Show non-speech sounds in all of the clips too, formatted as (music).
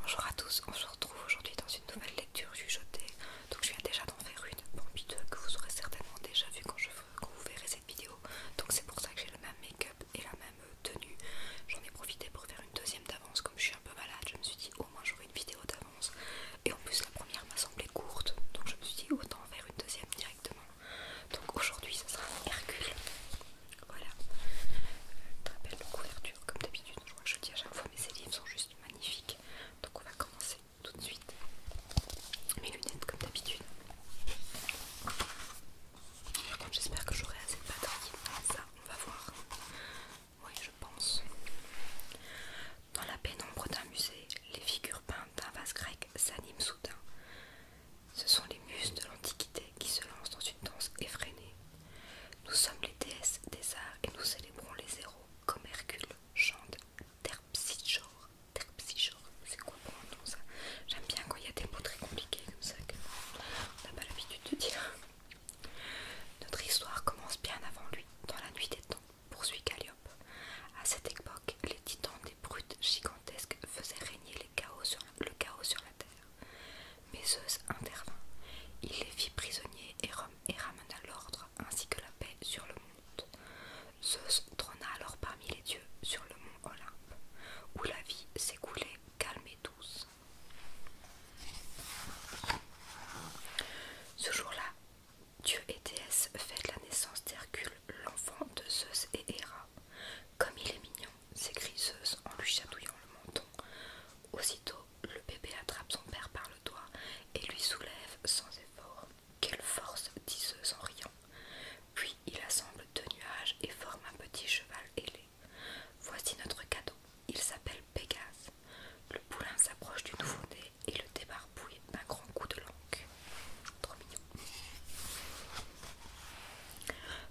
Bonjour à tous, on se retrouve aujourd'hui dans une nouvelle lecture chuchotée. Donc je viens déjà d'en faire une, bande 2 que vous aurez certainement déjà vu quand, je, quand vous verrez cette vidéo. Donc c'est pour ça que j'ai le même make-up et la même euh, tenue. J'en ai profité pour faire une deuxième d'avance, comme je suis un peu malade, je me suis dit au moins j'aurai une vidéo d'avance et en plus, la première m'a semblé courte, donc je me suis dit autant faire une deuxième directement. Donc aujourd'hui, ça sera un Hercule. Voilà. Très belle couverture, comme d'habitude. Je crois que dis à chaque fois, mais ces livres sont juste magnifiques. Donc on va commencer tout de suite. Mes lunettes, comme d'habitude. Par contre, j'espère que j'aurai assez de batterie. Ça, on va voir. Oui, je pense. Dans la pénombre d'un musée, les figures peintes d'un vase grec s'animent soudain. Ce sont les muses de l'Antiquité qui se lancent dans une danse effrénée. Nous sommes les déesses des arts et nous célébrons les héros comme Hercule chante Terpsichore. Terpsichore, c'est quoi pour un nom ça J'aime bien quand il y a des mots très compliqués comme ça que on n'a pas l'habitude de dire. Notre histoire commence bien avant lui, dans la nuit des temps poursuit Calliope. À cette époque, les titans des brutes gigantesques faisaient régner chaos sur, le chaos sur la terre. Mais Zeus intervint. Il les fit prisonniers et, et ramena l'ordre ainsi que la paix sur le monde. Zeus trôna alors parmi les dieux sur le mont Olympe, où la vie s'écoulait calme et douce. Ce jour-là, Dieu et déesse fête la naissance d'Hercule, l'enfant de Zeus et Héra. Comme il est mignon, s'écrie Zeus en lui chatouillant le menton. Aussitôt, le bébé attrape son père par le doigt et lui soulève sans effort. Quelle force, dit Zeus en riant. Puis il assemble deux nuages et forme un petit cheval ailé. Voici notre cadeau. Il s'appelle Pégase. Le poulain s'approche du nouveau-né et le débarbouille d'un grand coup de langue. Trop mignon.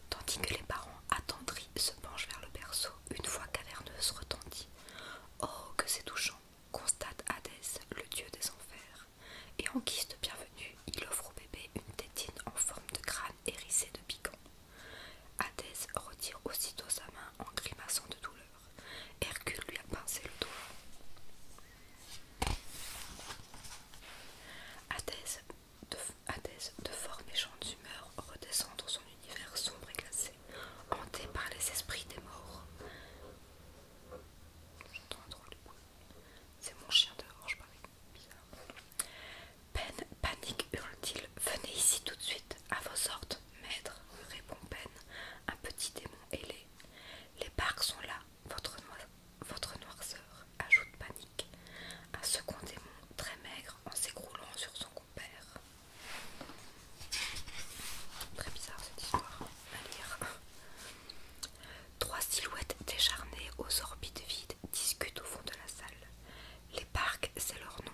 Tandis que les parents attendris se penchent vers le berceau, une voix caverneuse retentit. Oh, que c'est touchant constate Hadès, le dieu des enfers. Et en guise de bienvenue, il offre au bébé une tétine en forme de crâne hérissée de piquants. Hadès retire aussitôt sa main en grimaçant de douleur. Hercule lui a pincé le doigt. Athèse de, de fort méchante humeur, redescend dans son univers sombre et glacé, hanté par les esprits des morts. J'entends un drôle du bruit. C'est mon chien dehors, je parie. Bizarre. Peine, panique, hurle-t-il. Venez ici tout de suite, à vos ordres maître, répond Peine, un petit démon ailé. Les parcs sont là, votre, votre noirceur, ajoute Panique, un second démon très maigre en s'écroulant sur son compère. Très bizarre cette histoire à lire. Trois silhouettes décharnées aux orbites vides discutent au fond de la salle. Les parcs, c'est leur nom,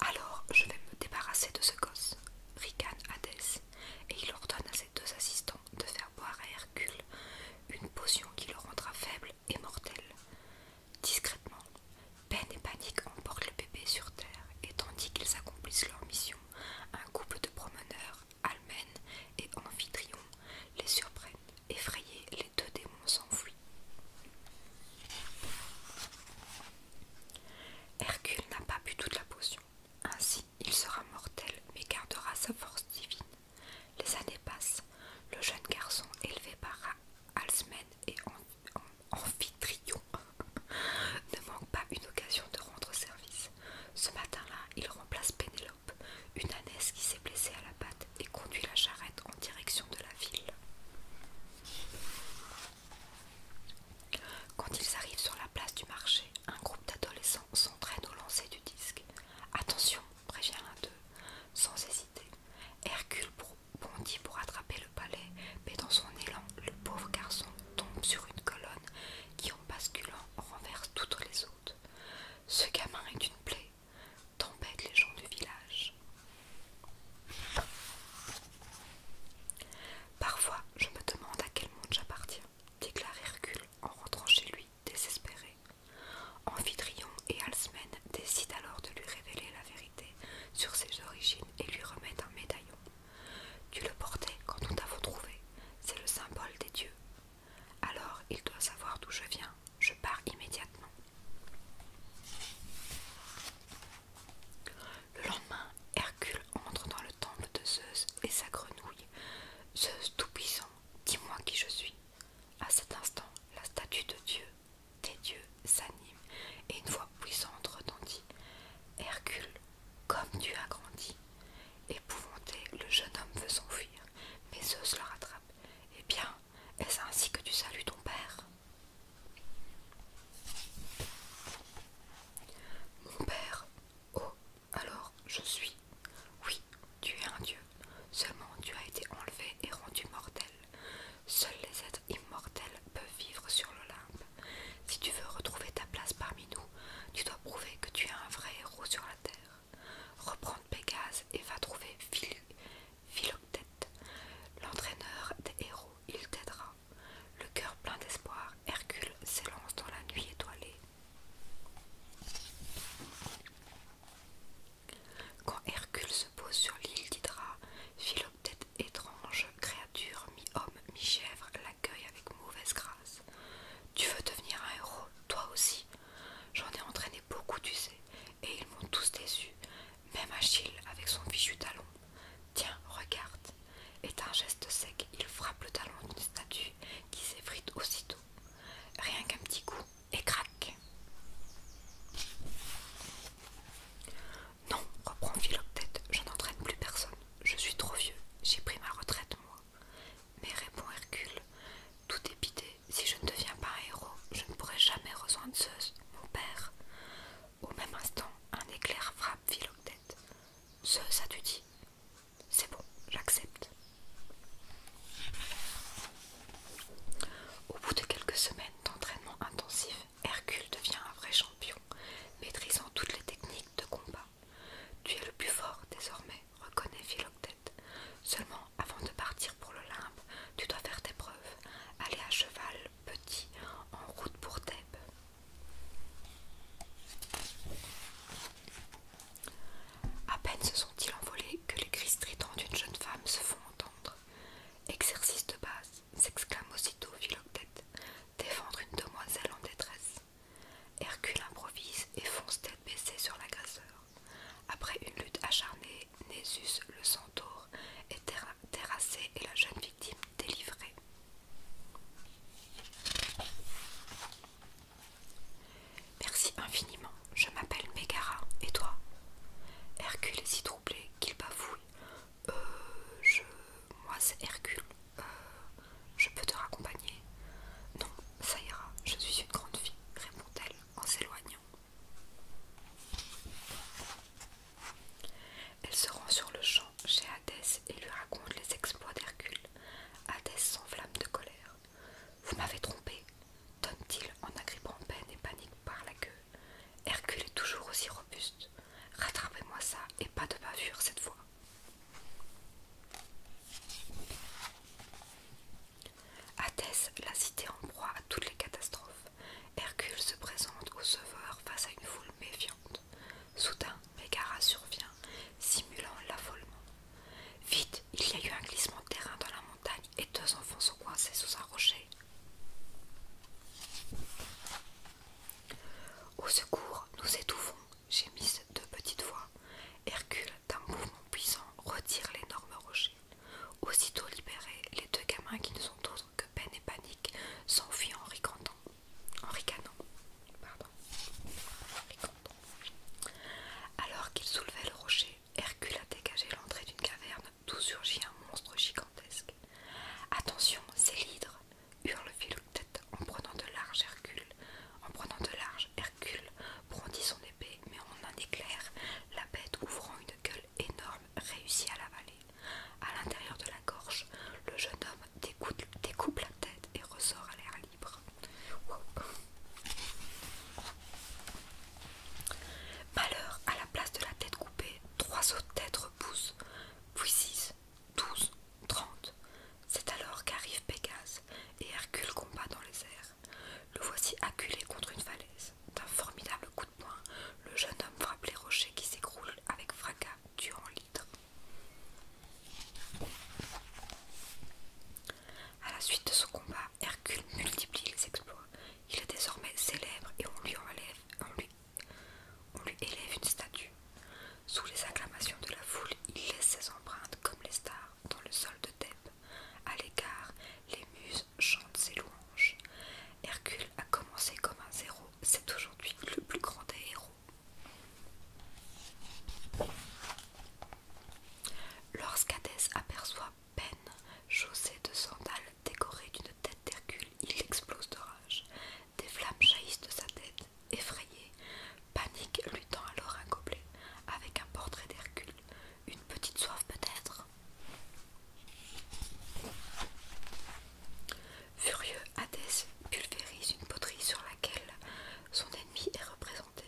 Alors je vais me débarrasser de ce gosse, ricane Hadès, et il ordonne à ses deux assistants de faire boire à Hercule une potion qui le rendra faible et mortel. Discrètement, peine et panique emportent le bébé sur terre, et tandis qu'ils accomplissent leur mission, un couple de promeneurs, Almen et Amphitryon, les surprennent. Effrayés, les deux démons s'enfuient. Hercule n'a pas bu toute la potion. Ainsi, il sera mortel, mais gardera sa force divine. Les années passent. Le jeune garçon, élevé par Alsmen et Amphitryon, (laughs) ne manque pas une occasion de rendre service. Ce matin-là, il remplace Pénélope, une ânesse qui s'est blessée à la patte et conduit la charrette en direction de la ville. Quand ils arrivent sur la place du marché, un groupe d'adolescents s'entraîne au lancer du disque. Attention, prévient l'un d'eux, sans hésiter. Hercule bondit pour attraper le palais, mais dans son élan, le pauvre garçon tombe sur une colonne qui, en basculant, renverse toutes les autres. Ce gamin est une plaie, tempête les gens du village. Parfois, je me demande à quel monde j'appartiens, déclare Hercule en rentrant chez lui, désespéré. Amphitryon et Halsmen décident alors de lui révéler la vérité sur ses origines et lui remettent un médaillon. Tu le portais quand nous t'avons trouvé, c'est le symbole des dieux. Alors il doit savoir d'où je viens, je pars immédiatement. Le lendemain, Hercule entre dans le temple de Zeus et sa grenouille. Zeus tout-puissant, dis-moi qui je suis. À cet instant, la statue de Dieu, des dieux, s'anime et une voix puissante retentit. Hercule, comme tu as grandi. Épouvanté, le jeune homme veut s'enfuir, mais Zeus le rattrape. Eh bien, est-ce ainsi que tu salues ton père Mon père Oh, alors je suis. Oui, tu es un dieu. Seulement tu as été enlevé et rendu mortel. Seuls les êtres immortels peuvent vivre sur l'Olympe. Si tu veux retrouver ta place parmi nous, tu dois prouver que tu es un vrai héros sur la terre. Reprends Pégase et va trouver Phil Philoctète, l'entraîneur des héros, il t'aidera. Le cœur plein d'espoir, Hercule s'élance dans la nuit étoilée. Quand Hercule se pose sur l'île d'Hydra, Philoctète, étrange créature, mi-homme, mi-chèvre, l'accueille avec mauvaise grâce. Tu veux devenir un héros, toi aussi J'en ai entraîné beaucoup, tu sais, et ils m'ont tous déçu. Même Achille, avec son fichu talon, tiens, regarde. Et un geste sec, il frappe le talon d'une statue qui s'effrite aussitôt. Rien qu'un petit coup, et craque. Non, reprend Philoctète, je n'entraîne plus personne. Je suis trop vieux, j'ai pris ma retraite, moi. Mais répond Hercule, tout est bidé. Si je ne deviens pas un héros, je ne pourrai jamais rejoindre Zeus, mon père. Au même instant, un éclair frappe Philoctète. Zeus, as-tu dit C'est bon, j'accepte. Au bout de quelques semaines d'entraînement intensif, Hercule devient un vrai champion, maîtrisant toutes les techniques de combat. Tu es le plus fort désormais, reconnaît Philoctète. Seulement avant de partir pour l'Olympe, tu dois faire tes preuves. Aller à cheval, petit, en route pour Thèbes. À peine se sont-ils envolés que les cris stridents d'une jeune femme se font entendre. Exercice de base, s'exclame aussitôt Philoctète, défendre une demoiselle en détresse. Hercule improvise et fonce tête baissée sur l'agresseur. Après une lutte acharnée, Nésus, le centaure, est terrassé et la jeune victime délivrée. Merci infiniment, je m'appelle Megara, et toi Hercule est si troublé qu'il bavouille Euh, je. Moi, c'est Hercule. Euh, je peux te raccompagner Non, ça ira, je suis une grande fille, répond-elle en s'éloignant. Elle se rend sur le champ chez Hadès et lui raconte les exploits d'Hercule. Hadès s'enflamme de colère. Vous m'avez trompé, donne t il en agrippant peine et panique par la queue. Hercule est toujours aussi robuste. Rattrapez-moi ça et pas de bavure cette fois. Thès, la cité en proie à toutes les catastrophes, Hercule se présente au sauveur face à une foule méfiante. Soudain, Mégara survient, simulant l'affolement. Vite, il y a eu un glissement de terrain dans la montagne et deux enfants sont coincés sous un rocher. Au secours, nous étouffons, gémissent deux petites voix. Hercule d'un mouvement puissant, retire l'énorme rocher. Aussitôt libérés, les deux gamins qui ne sont autres que peine et panique s'enfuient en ricanant. En ricanant. Alors qu'ils soulevaient le rocher, Hercule a dégagé l'entrée d'une caverne d'où surgit un monstre gigantesque. Attention, c'est l'hydre hurle Tête en prenant de large Hercule. En prenant de large, Hercule brandit son mais en un éclair, la bête ouvrant une gueule énorme réussit à l'avaler. À l'intérieur de la gorge, le jeune homme découpe, la tête et ressort à l'air libre. Malheur, à la place de la tête coupée, trois autres têtes repoussent, puis six, douze, trente. C'est alors qu'arrive Pégase et Hercule combat dans les airs. Le voici acculé contre une falaise. D'un formidable coup de poing, le jeune homme frappe les rochers qui s'écroulent avec fracas, durant l'hydre. À la suite de ce combat, Hercule multiplie les exploits. Il est désormais célèbre et on lui, enlève, on lui élève une statue. Sous les acclamations de la foule, il laisse ses empreintes comme les stars dans le sol de Thèbes. À l'écart, les muses chantent ses louanges. Hercule a commencé comme un zéro, c'est aujourd'hui le plus grand des héros. Lorsqu'Hadès aperçoit Peine, chaussée de sandales décorées d'une tête d'Hercule, il explose de rage. Des flammes jaillissent de sa tête. Effrayé, Panique luttant alors un gobelet avec un portrait d'Hercule. Une petite soif peut-être Furieux, Hadès pulvérise une poterie sur laquelle son ennemi est représenté.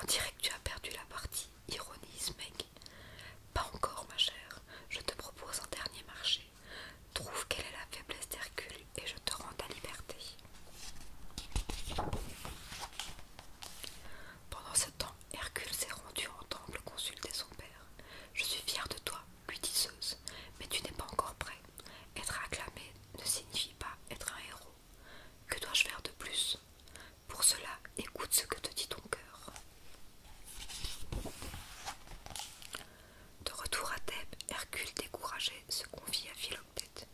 On dirait que tu as perdu la partie, ironise Meg. Pas encore, ma chère. Je te propose un dernier marché. Trouve quelle est la faiblesse d'Hercule et je te rends ta liberté. Pendant ce temps, Hercule s'est rendu en temple consulter son père. Je suis fière de toi, lui dit Zeus, mais tu n'es pas encore prêt. Être acclamé ne signifie pas être un héros. Que dois-je faire de plus Pour cela, écoute ce que te dit ton cœur. De retour à Thèbes, Hercule découragé se confie à Philoctète.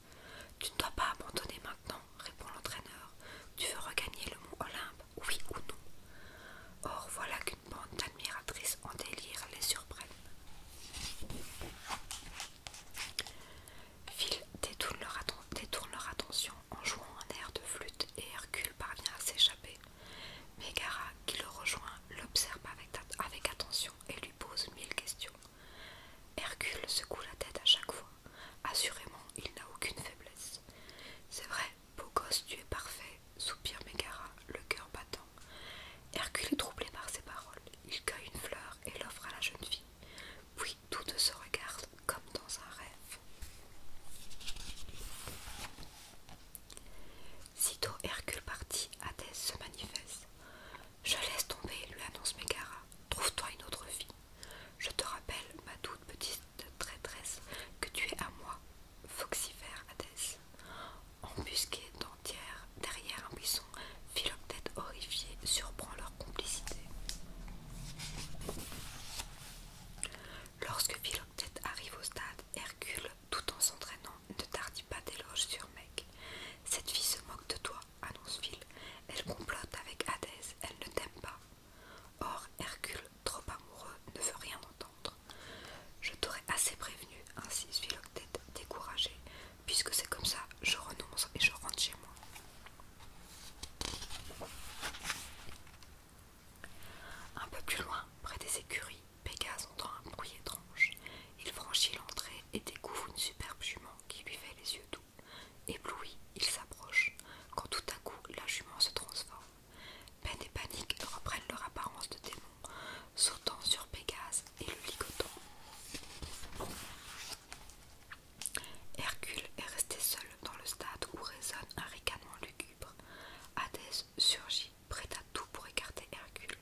Tu ne dois pas abandonner maintenant, répond l'entraîneur. Tu veux regagner le mont Olympe, oui ou non Or, voilà qu'une bande d'admiratrices en délire les surprennent. Phil détourne leur, attention en jouant un air de flûte et Hercule parvient à s'échapper. Megara, qui le rejoint, l'observe avec attention et lui pose mille questions. Hercule secoue la tête à chaque fois. Assurément, il n'a aucune faiblesse. C'est vrai, beau tu es parfait, soupire Mégara, le cœur battant. Hercule est troublé par ses paroles. Il cueille une fleur et l'offre à la jeune fille. Puis toutes se regardent comme dans un rêve. Sitôt Hercule partit, Athèse se manifeste. Je laisse tomber, lui annonce Megara. Trouve-toi une autre fille. Je te rappelle, ma toute petite traîtresse, que tu es à moi, Foxifère Hadès. Embusquée d'entière derrière un buisson, Philoctète horrifié, surprend leur complicité. Lorsque Philoctète arrive au stade, Hercule, tout en s'entraînant, ne tardit pas d'éloge sur Meg. Cette fille se moque de toi, annonce Phil, Elle complote avec Hadès, elle ne t'aime pas. Or, Hercule, trop amoureux, ne veut rien entendre. Je t'aurais assez prévenu, ainsi suis découragé. Puisque c'est comme ça, je renonce et je rentre chez moi. Un peu plus loin, près des écuries, Pégase entend un bruit étrange. Il franchit l'entrée et découvre une superbe jument qui lui les yeux doux. Ébloui, il s'approche, quand tout à coup la jument se transforme. Peine et panique reprennent leur apparence de démon, sautant sur Pégase et le ligotant. Hercule est resté seul dans le stade où résonne un ricanement lugubre. Hadès surgit, prêt à tout pour écarter Hercule,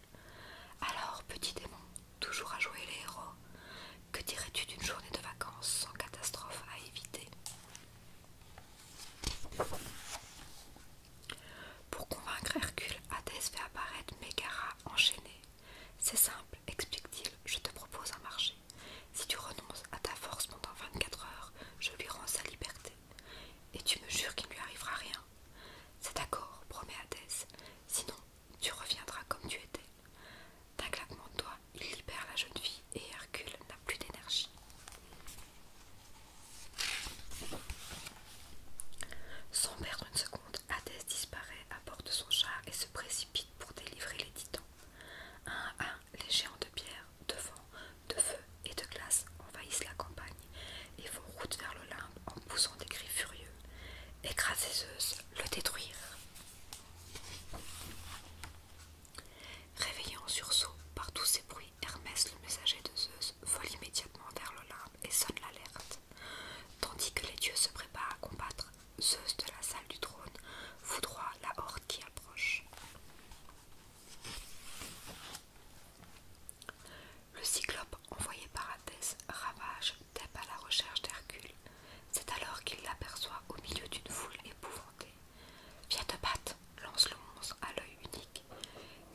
alors, petit démon, toujours à jouer les héros, que dirais-tu d'une journée de vacances sans catastrophe à éviter Pour convaincre Hercule, Hadès fait apparaître Megara enchaînée. C'est simple, explique-t-il, je te propose un marché. Si tu renonces à ta force pendant 24 heures, je lui rends sa liberté. Et tu me jures qu'il ne lui arrivera rien. C'est d'accord, promet Hadès. Sinon, tu reviendras comme tu étais. D'un claquement de doigts, il libère la jeune fille et Hercule n'a plus d'énergie. Sans perdre une seconde, Hadès disparaît à bord de son char et se précipite pour délivrer les titans. Un à un, les géants de pierre, de vent, de feu et de glace envahissent la campagne et font route vers l'Olympe en poussant des cris furieux. Écrasez Zeus, le détruire. Réveillé en sursaut par tous ces bruits, Hermès, le messager de Zeus, vole immédiatement vers l'Olympe et sonne l'alerte. Tandis que les dieux se préparent à combattre, Zeus de la salle du trône foudroie la horde qui approche. Le cyclope envoyé par Athès ravage Thèbes à la recherche d'Hercule. C'est alors qu'il l'aperçoit au milieu d'une foule épouvantée. Viens te battre, lance le monstre à l'œil unique.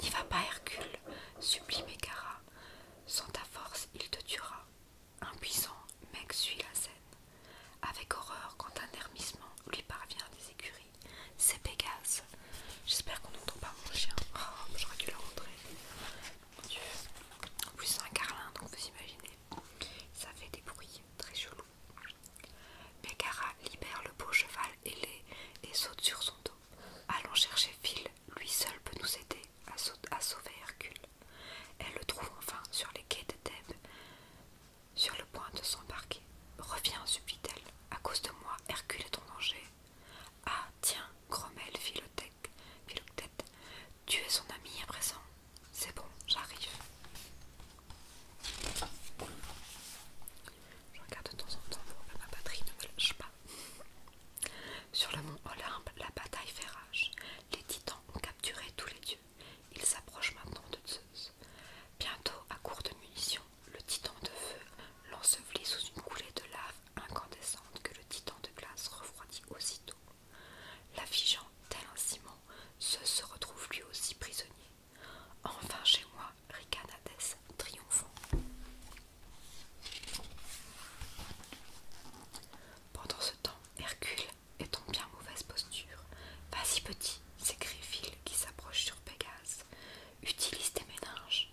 N'y va pas, Hercule, supplie Écara. Sans ta force, il te tuera. Impuissant, Meg suit la scène. Avec horreur, quand un hermissement lui parvient des écuries, c'est Pégase J'espère qu'on n'entend pas mon chien. Oh, j'aurais dû le rentrer. Mon Dieu. En plus, c'est un carlin, donc vous imaginez. Ça fait des bruits très chelous. Megara libère le beau cheval ailé et saute sur son dos. Allons chercher Phil, lui seul peut nous aider à, sauver Hercule. Elle le trouve enfin sur les quais de Thèbes, sur le point de s'embarquer. Reviens, subit elle À cause de moi, Hercule est en danger. Ah, tiens, Grommel, fit Tu es son ami à présent. C'est bon, j'arrive. Je regarde de temps en temps pour que ma batterie ne me lâche pas. Sur le mont Olympe, la bataille fait rage. Les titans ont capturé tous les dieux. Ils s'approchent maintenant de Zeus. Bientôt, à court de munitions, le titan de feu l'ensevelit sous une coulée de lave incandescente que le titan de glace refroidit aussitôt. L'affigeant tel un ciment, se retrouve lui aussi prisonnier. Enfin chez moi, Ricanadès triomphant. Pendant ce temps, Hercule est en bien mauvaise posture. Vas-y petit, s'écrie Phil qui s'approche sur Pégase. Utilise tes méninges.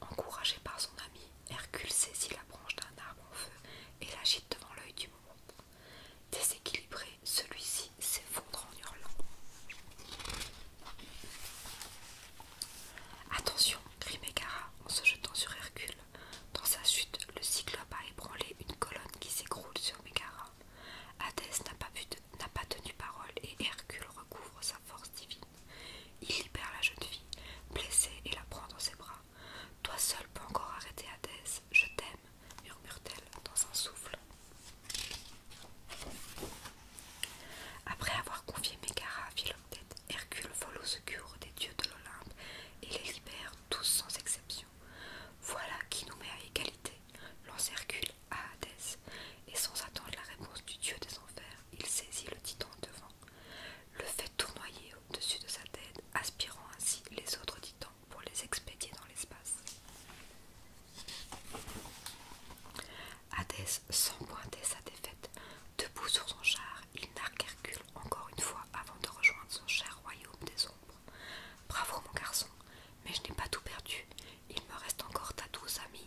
Encouragé par son ami, Hercule saisit la branche d'un arbre en feu et l'agite devant l'œil du monde. Déséquilibré, celui-ci s'effondre en hurlant. Attention, crie Mégara en se jetant sur Hercule. Dans sa chute, le cyclope a ébranlé une colonne qui s'écroule sur Mégara. Hadès n'a pas tenu parole et Hercule recouvre sa force divine. Il libère la jeune fille, blessée, et la prend dans ses bras. Toi seul peux encore arrêter Hadès, je t'aime, murmure-t-elle dans un souffle. Après avoir confié Megara à Philoctète, Hercule vole au secours des dieux de l'Olympe et les libère tous sans exception. Voilà qui nous met à égalité, lance Hercule à Hadès, et sans attendre la réponse du dieu des enfers, il saisit le titan devant, le fait tournoyer au-dessus de sa tête, aspirant ainsi les autres titans pour les expédier dans l'espace. Hadès, sans pointer sa défaite, debout sur son char, il narque Hercule encore une fois avant de rejoindre son cher royaume des ombres. Bravo mon garçon, mais je n'ai pas tout perdu. Il me reste encore ta douce amie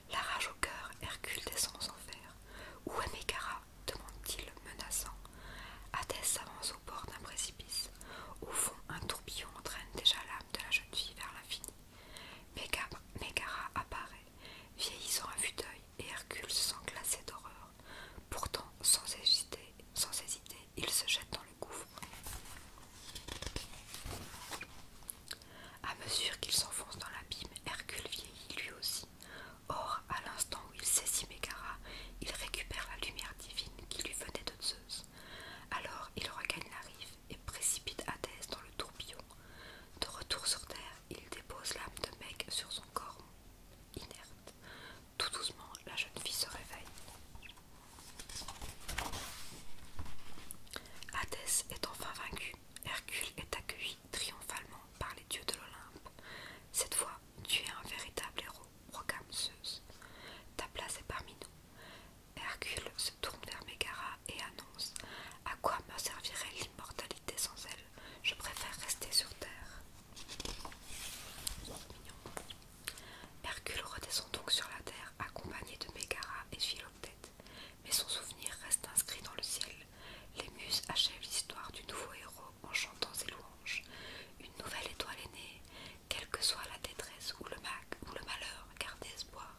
La rage au cœur, Hercule descend aux enfer Où est Megara demande-t-il, menaçant. Hadès s'avance au bord d'un précipice. Au fond, un tourbillon entraîne déjà l'âme de la jeune fille vers l'infini. Mégara apparaît, vieillissant à vue d'œil, et Hercule se sent glacé d'horreur. Pourtant, sans hésiter, sans hésiter, il se jette dans le gouffre. À mesure qu'il s'enfonce dans l'abîme, Hercule vieillit lui aussi. Or, à l'instant où il saisit Megara, il récupère la lumière divine qui lui venait de Zeus. Alors il regagne la rive et précipite Hades dans le tourbillon. De retour sur Terre, il dépose l'âme de Meg sur son corps inerte. Tout doucement, la jeune fille se réveille. Hades est enfin vaincu Hercule est accueilli triomphalement par les dieux de l'Olympe. Cette fois, tu es un véritable héros, Rocame Ta place est parmi nous. Hercule se tourne vers Mégara et annonce À quoi me servirait l'immortalité sans elle Je préfère rester sur terre. Hercule redescend donc sur la terre, accompagné de Mégara et Philoctète mais son souvenir reste inscrit dans le ciel. Les muses achèvent l'histoire du nouveau héros en chantant ses louanges. Une nouvelle étoile est née, quelle que soit la détresse ou le ou le malheur, gardez espoir.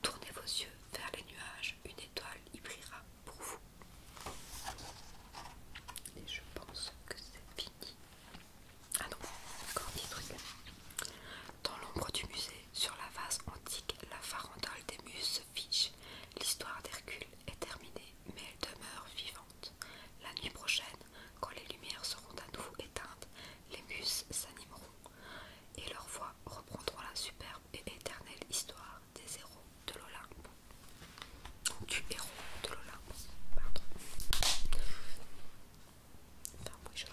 Tournez vos yeux vers les nuages, une étoile y brillera pour vous. Et je pense que c'est fini. Ah non, encore des trucs. Dans l'ombre du musée, sur la vase antique, la farandole des muses se fiche. L'histoire d'Hercule est terminée, mais elle demeure vivante. La nuit prochaine, quand les lumières seront à nouveau éteintes, les muses s'animeront et leur voix reprendront la superbe et éternelle histoire des héros de l'Olympe. Du héros de l'Olympe, pardon. Enfin, je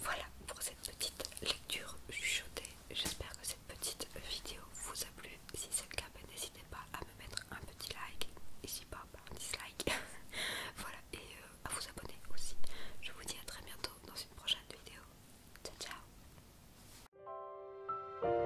Voilà pour cette petite lecture chuchotée. J'espère que cette petite vidéo vous a plu. Si c'est le cas, ben, n'hésitez pas à me mettre un petit like. Et si pas, ben, un dislike. (laughs) voilà, et euh, à vous abonner aussi. Je vous dis à très bientôt dans une prochaine vidéo. Ciao, ciao